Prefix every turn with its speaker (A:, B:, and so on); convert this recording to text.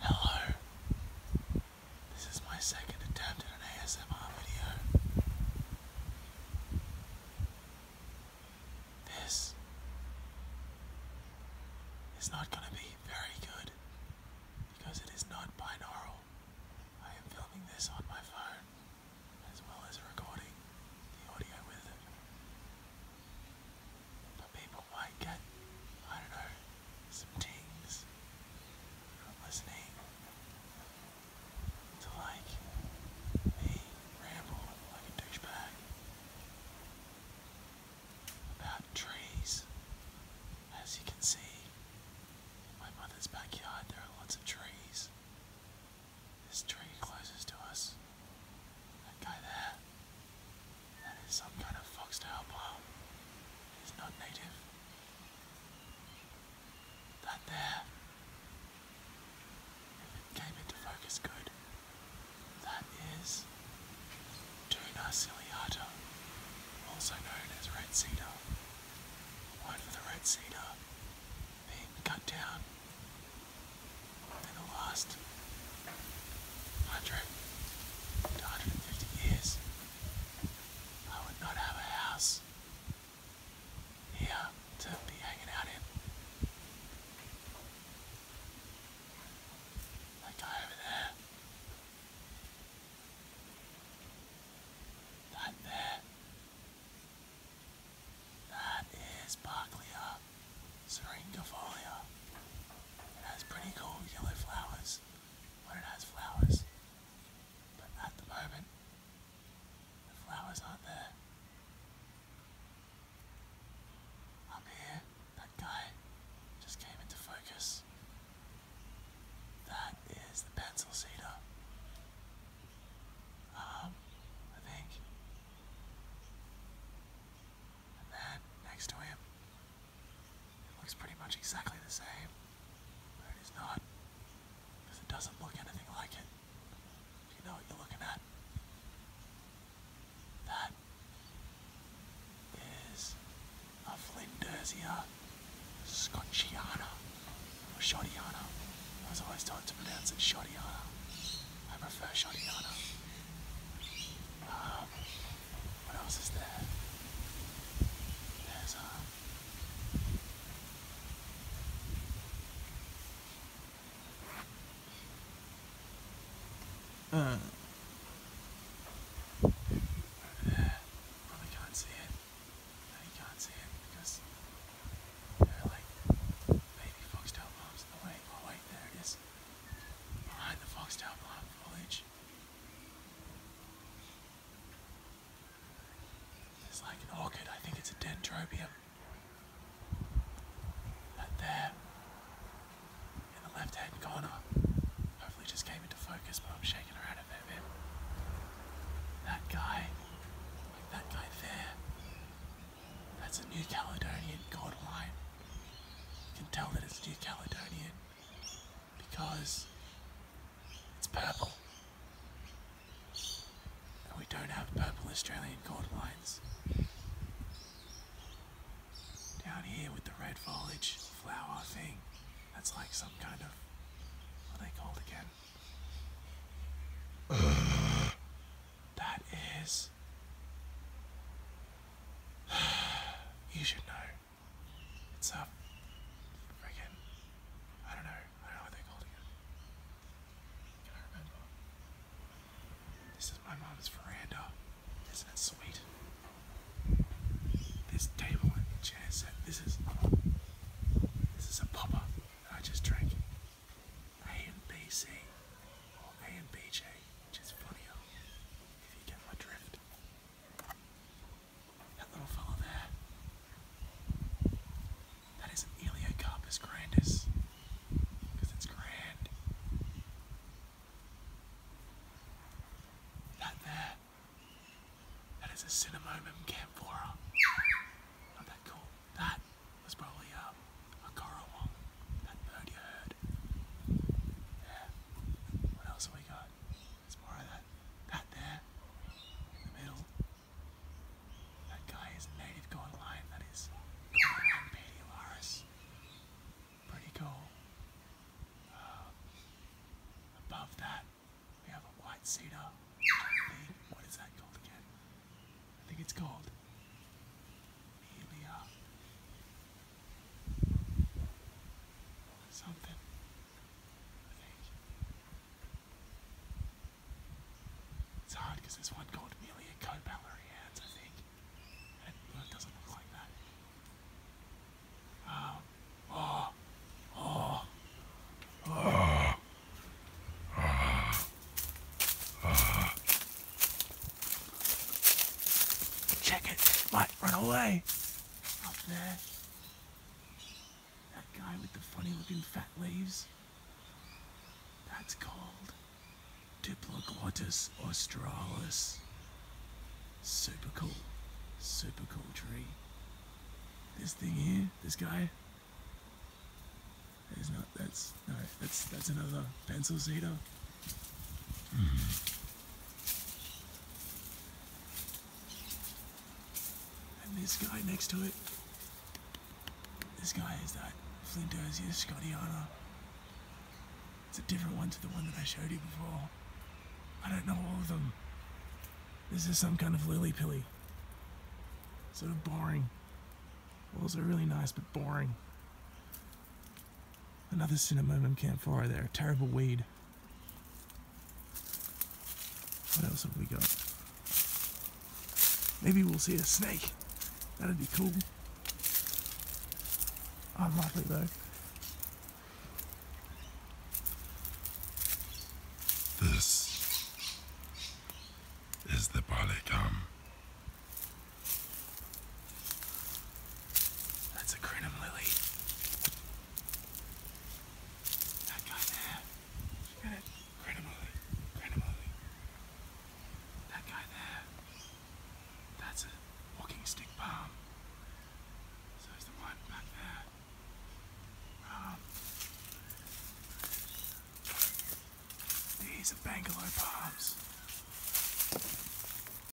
A: Hello. This is my second attempt at an ASMR video. This is not going to be very good because it is not binaural. I am filming this on my phone as well as recording the audio with it people might get, I don't know, some dings from listening to like me ramble like a douchebag about trees. As you can see, in my mother's backyard there are lots of trees. This tree closest to us, that guy there, that is some kind of foxtail palm. It's not native. That there. If it came into focus good, that is Tuna ciliata, also known as red cedar. The for the red cedar being cut down in the last 100 to 150 years, I would not have a house here to be hanging out in. That guy over there. That there. That is Barclaya uh, Syringafolia. It has pretty cool yellow flowers when it has flowers, but at the moment, the flowers aren't there. Up here, that guy just came into focus. That is the pencil cedar. Um, I think. And then next to him it looks pretty much exactly the same, but it is not, because it doesn't look anything like it. You know what you're looking at. That is a Flindersia Scotchiana, or I was always taught to pronounce it Shodiana. I prefer Shodiana. Um, what else is there? There's a. Uh. Probably can't see it. No, can't see it because there are like baby foxtail palms in the Oh wait, there it is. Behind the foxtail palm foliage. It's like an orchid, I think it's a dendrobium. That there, in the left hand corner, hopefully just came into focus, but I'm shaking around a bit. That guy, like that guy there, that's a New Caledonian cordyline. You can tell that it's New Caledonian because it's purple. And we don't have purple Australian cord lines. Down here with the red foliage flower thing, that's like some kind of what they called again. that is. you should know. It's a freaking. I don't know. I don't know what they called it. Can I remember? This is my mum's veranda. Isn't it sweet? This table and chair set. This is. This is a popper I just drank. A and B C or A and B J, which is funnier if you get my that little fellow there. That is an Eliocarpus grandis. it's grand. That there. That is a Cinnamomum camphora. Not that cool. That was probably uh, a coral That bird you heard. What else have we got? There's more of that. That there, in the middle. That guy is a native god lion. That is Pedularis. Pretty cool. Uh, above that, we have a white cedar. What is that called again? I think it's called Melia something. It's hard because there's one called Amelia Cobellery Hands, I think. And it doesn't look like that. Um, oh, oh, oh. Oh. oh. Check it. it might run away. Up there. That guy with the funny looking fat leaves. That's called Diplodocus australis. Super cool. Super cool tree. This thing here, this guy. There's not that's no, that's that's another pencil cedar. Mm-hmm. And this guy next to it. This guy is that Flinders Scottiana. It's a different one to the one that I showed you before. I don't know all of them. This is some kind of lily pilly. Sort of boring. Also really nice, but boring. Another Cinnamomum camphora there, terrible weed. What else have we got? Maybe we'll see a snake. That'd be cool. Unlikely oh, though. This is the Balikam. That's a crinum lily. That guy there. Look at it. Crinum lily. Crinum lily. That guy there. That's a walking stick palm. So is the one back there. Um, these are Bangalore palms.